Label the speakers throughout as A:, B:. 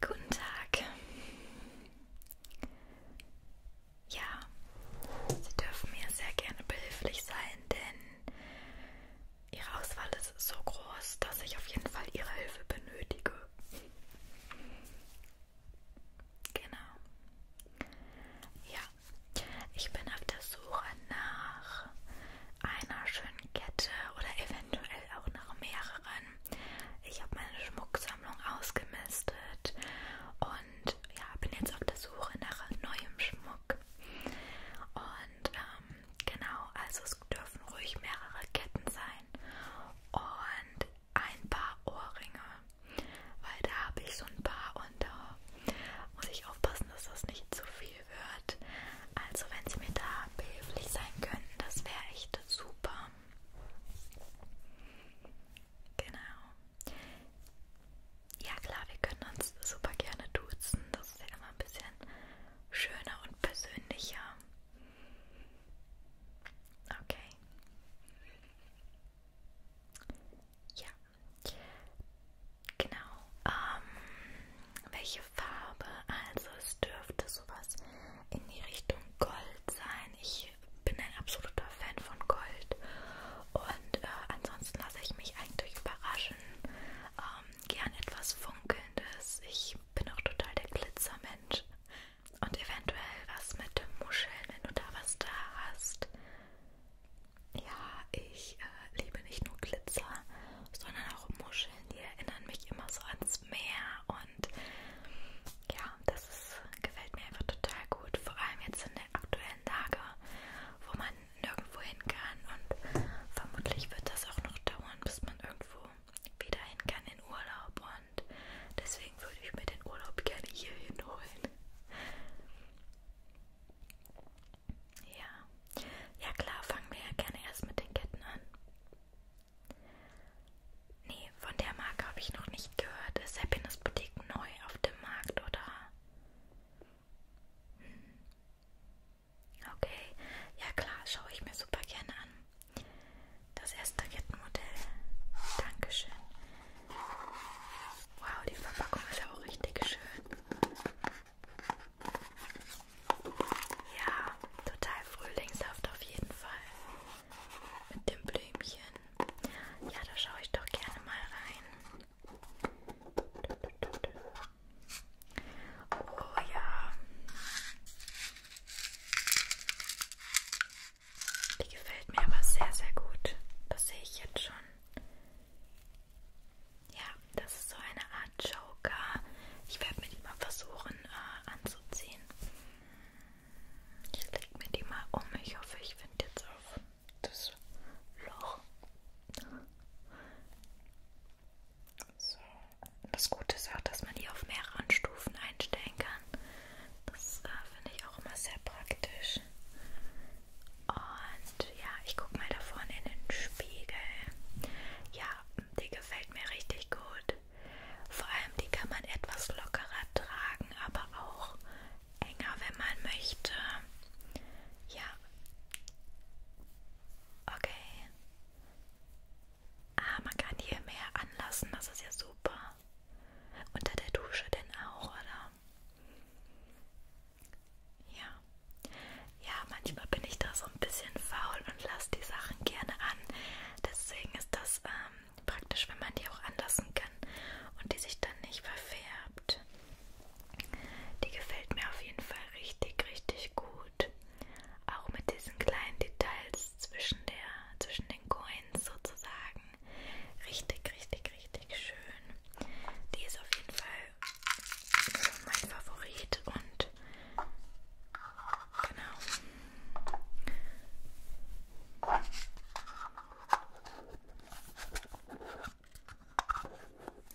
A: Guten Tag. Ja, Sie dürfen mir sehr gerne behilflich sein, denn Ihre Auswahl ist so groß, dass ich auf jeden Fall Ihre Hilfe benötige. Genau. Ja, ich bin auf der Suche nach nach einer schönen Kette oder eventuell auch nach mehreren. Ich habe meine Schmucksammlung ausgemistet und ja, bin jetzt auf der Suche nach neuem Schmuck. Und ähm, genau, also es dürfen ruhig mehrere Ketten sein und ein paar Ohrringe, weil da habe ich so ein paar und da muss ich aufpassen, dass das nicht zu viel viel wird. Also wenn Sie mir da behilflich sein könnten, das wäre echt super. Genau. Ja klar, wir können uns super gerne duzen. Das ist ja immer ein bisschen schöner und persönlicher. Okay. Ja. Genau. Ähm, welche Farbe? Also es dürfte sowas in die Richtung Gold sein. Ich bin ein absoluter Fan von Gold. Und äh, ansonsten lasse ich mich eigentlich überraschen. Ähm, gern etwas Funkelndes. Ich bin auch total der Glitzermensch. Und eventuell was mit Muscheln, wenn du da was da hast. Ja, ich äh, liebe nicht nur Glitzer, sondern auch Muscheln, die erinnern mich immer so ans Meer und ja, das ist, gefällt mir einfach total gut, vor allem jetzt in der aktuellen Lage, wo man nirgendwo hin kann und vermutlich wird das auch noch dauern, bis man irgendwo wieder hin kann in Urlaub und deswegen würde ich mir den Urlaub gerne hier hinholen. Ja. Ja klar, fangen wir ja gerne erst mit den Ketten an. Nee, von der Marke habe ich noch nicht gehört. Ist Happiness Boutique neu auf dem Markt, oder? Hm. Okay. Ja klar, schaue ich mir super gerne an. Das erste Kettenmodell. Dankeschön. Wow, die Verpackung ist ja auch richtig schön. Ja, total frühlingshaft auf jeden Fall. Mit dem Blümchen. Ja, da schaue ich doch gerne mal rein. Oh ja. Die gefällt mir aber sehr, sehr gut. Das sehe ich jetzt schon. Ja, das ist so eine Art Joker. Ich werde mir die mal versuchen äh, anzuziehen. Ich leg mir die mal um. Ich hoffe, ich finde jetzt auf das Loch. So. Das Gute ist auch, dass man die auf mehreren Stufen einstellen kann. Das äh, finde ich auch immer sehr praktisch. Und ja, ich gucke mal da vorne in den Spiegel. Ja, die gefällt mir richtig gut. Vor allem, die kann man etwas lockerer tragen, aber auch enger, wenn man möchte. Ja. Okay. Ah, man kann hier mehr anlassen, das ist ja super. Unter der Dusche denn auch, oder? Ja. Ja, manchmal bin ich da so ein bisschen faul und lasse die Sachen gerne an. Deswegen ist das ähm, praktisch, wenn man die auch anlassen kann und die sich dann nicht verfärbt. Die gefällt mir auf jeden Fall richtig, richtig gut. Auch mit diesen kleinen Details zwischen, der, zwischen den Coins sozusagen. Richtig, richtig, richtig schön. Die ist auf jeden Fall so mein Favorit und genau.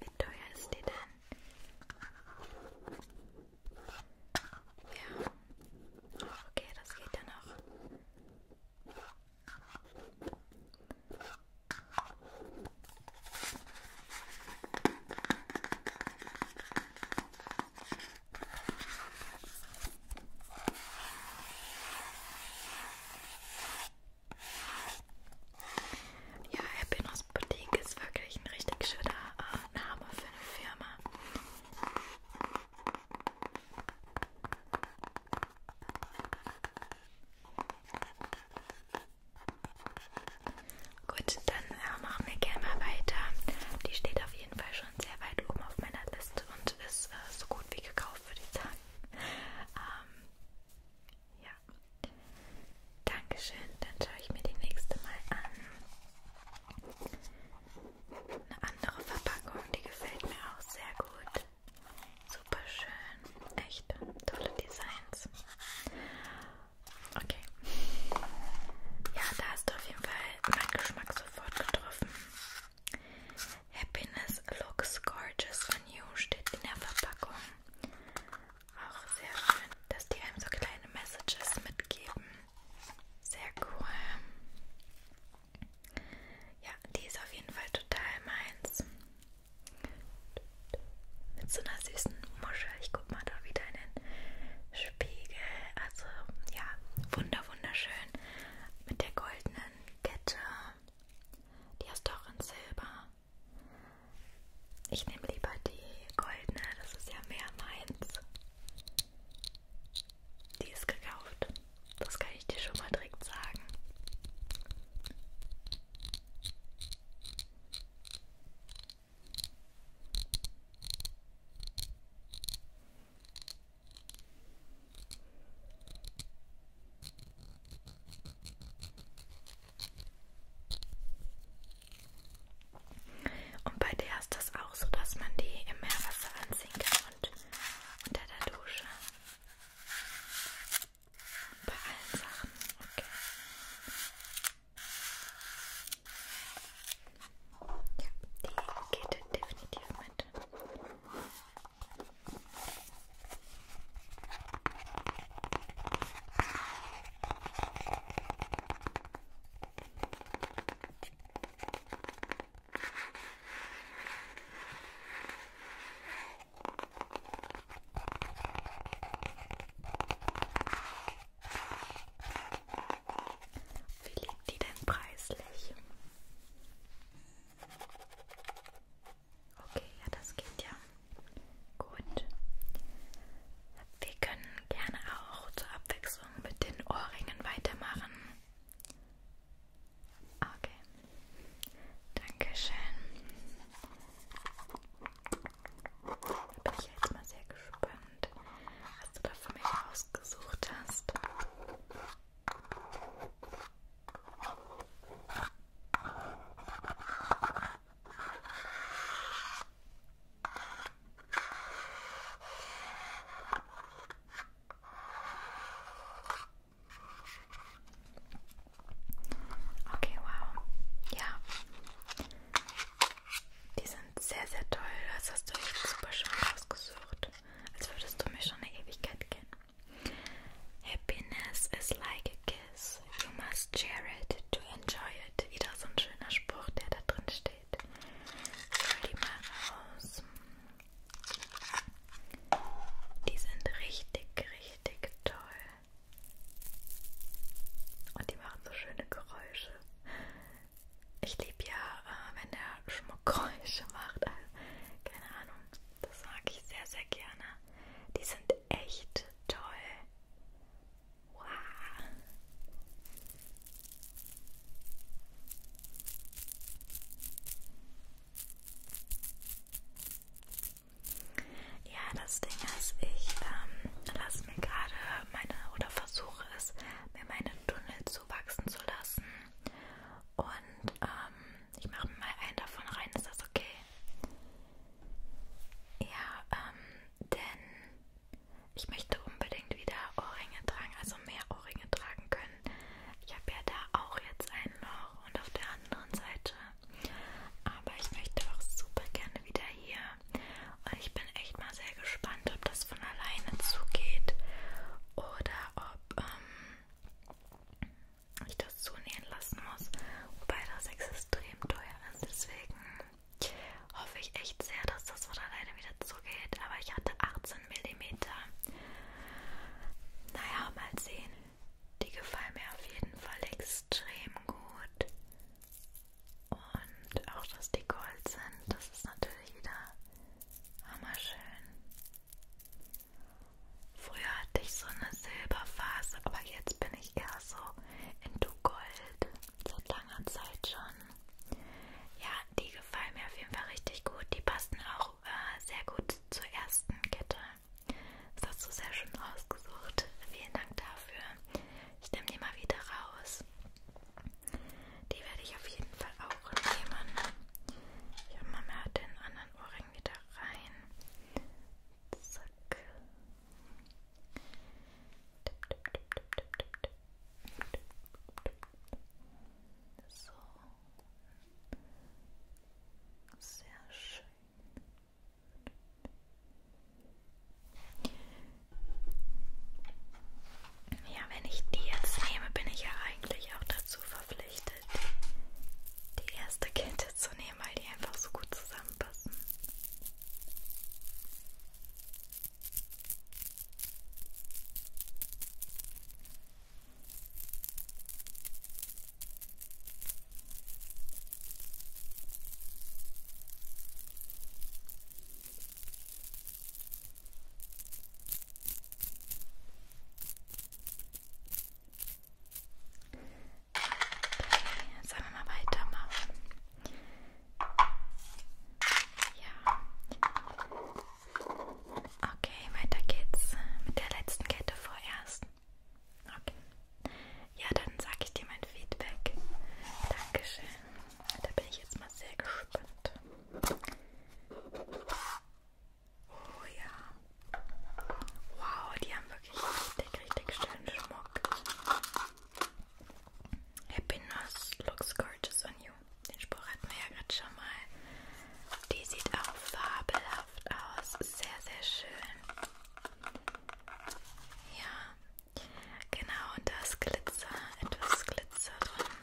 A: Wie teuer ist die denn? Ja. Okay, das geht ja noch. Ja, Happiness Boutique ist wirklich ein richtig schöner äh, Name für eine Firma. Gut, dann äh, machen wir gerne mal weiter. Die steht auf jeden Fall schon sehr weit oben auf meiner Liste und ist äh, so gut wie gekauft, würde ich sagen. Ähm, ja. Dankeschön. Dann schaue ich mir die nächste mal an. Eine andere Verpackung, die gefällt mir auch sehr gut. Super schön. Echt tolle Designs. Okay. Ja, da hast du auf jeden Fall meinen Geschmack sofort getroffen. Happiness looks gorgeous on you steht in der Verpackung. Auch sehr schön, dass die einem so kleine Messages mitgeben. Sehr cool. Ja, die ist auf jeden Fall total meins. Mit so einer süßen Muschel. Ich guck mal da wieder in den Spiegel. Also, ja, wunder, wunderschön. Mit der goldenen Kette. Die ist doch in Silber. Ich nehme lieber die goldene. Das ist ja mehr meins. Die ist gekauft. Das kann ich dir schon mal direkt sagen. Und bei der ist das auch so, dass man die im Meerwasser anziehen kann und unter der Dusche. Bei allen Sachen, okay. Ja, die geht definitiv mit. Okay. Wie liegt die denn preislich? Okay, ja, das geht ja. Gut. Wir können gerne auch zur Abwechslung mit den Ohrringen weitermachen. Okay. Dankeschön. Da bin ich jetzt mal sehr gespannt, was du da für mich ausgesucht hast. Okay. Okay, wow. Ja. Die sind sehr, sehr toll. Das hast du echt super schön ausgesucht. Als würdest du mich schon eine Ewigkeit kennen. Happiness is like a kiss. You must share it to enjoy it. Wieder so ein schöner Spruch, der da drin steht. Ich hol die mal raus. Die sind richtig, richtig toll. Und die machen so schöne Geräusche. Ich liebe ja, äh, wenn der Schmuck Geräusche macht. Also, keine Ahnung. Das mag ich sehr, sehr gerne. Die sind echt toll. Wow. Ja, das Ding ist, ich ähm, lasse mir gerade meine oder versuche es, mir meine Tunnel zuwachsen zu lassen. Und ähm, ich mache mir mal einen davon rein, ist das okay? Ja, ähm, denn ich möchte unbedingt wieder Ohrringe tragen, also mehr Ohrringe tragen können. Ich habe ja da auch jetzt ein Loch und auf der anderen Seite. Aber ich möchte auch super gerne wieder hier. Und ich bin echt mal sehr gespannt, ob das von alleine zugeht oder ob ähm, ich das zunähen lassen muss. Wobei das extrem teuer ist, deswegen hoffe ich echt sehr, dass das von alleine wieder zugeht. Aber ich hatte 18 mm. Naja, mal sehen. Die gefallen mir auf jeden Fall extrem gut. Und auch, dass die Gold sind, das ist natürlich wieder hammerschön. Früher hatte ich so eine Silberphase, aber jetzt bin ich eher so in Du Gold seit langer Zeit schon. Ja, die gefallen mir auf jeden Fall richtig gut. Die passen auch äh, sehr gut zur ersten Kette. Das hast du sehr schön rausgesucht. Vielen Dank dafür. Ich nehme die mal wieder raus. Die werde ich auf jeden Fall auch nehmen. Ich hole mal den anderen Ohrring wieder rein. Zack. Tipp, tipp, tipp, tipp, tipp, tipp, tipp. So. Sehr schön. Ja, wenn ich die jetzt nehme, bin ich ja eigentlich auch dazu verpflichtet, die erste Kette zu nehmen, weil die einfach so gut zusammenpassen. Jetzt einmal mal weitermachen. Ja. Okay, weiter geht's mit der letzten Kette vorerst. Okay. Ja, dann sage ich dir mein Feedback. Dankeschön. Da bin ich jetzt mal sehr gespannt. Oh ja. Wow, die haben wirklich richtig, richtig schönen Schmuck. Happiness looks gorgeous on you. Den Spruch hatten wir ja gerade schon mal. Die sieht auch fabelhaft aus. Sehr, sehr schön. Ja, genau. Und da ist Glitzer, etwas Glitzer drin.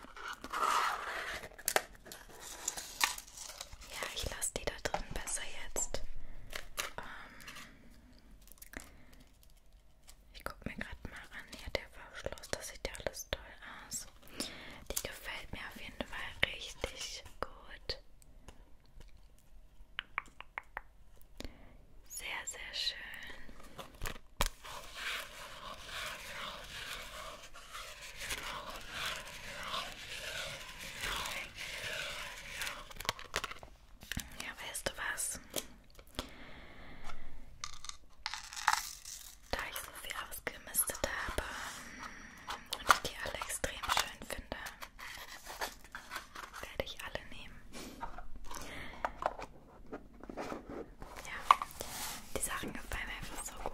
A: Ja, ich lasse die da drin besser jetzt. Ähm, ich gucke mir gerade mal an, hier der Verschluss, das sieht ja alles toll aus. Die gefällt mir auf jeden Fall richtig gut. Sehr, sehr schön. Ja, weißt du was? Da ich so viel ausgemistet habe und ich die alle extrem schön finde, werde ich alle nehmen. Ja, die Sachen gefallen mir einfach so gut.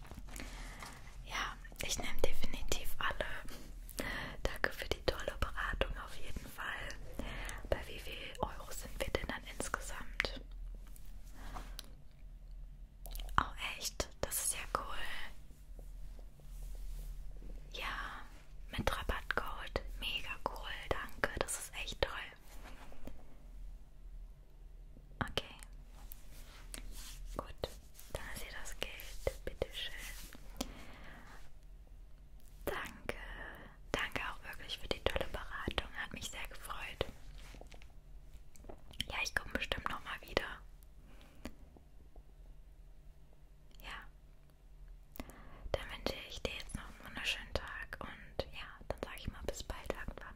A: Ja, ich nehme definitiv alle. Danke für die tolle Beratung auf jeden Fall. Bei wie viel Euro sind wir denn dann insgesamt? Oh echt, das ist ja cool. Ja, mit Rabattcode. Mega cool, danke. Das ist echt toll. Okay. Gut. Da ist hier das Geld. Bitteschön. Danke. Danke auch wirklich für die tolle Beratung. Hat mich sehr gefreut. Ja, ich komme bestimmt nochmal wieder. Ja. Dann wünsche ich dir jetzt noch einen wunderschönen Tag und ja, dann sage ich mal bis bald irgendwann.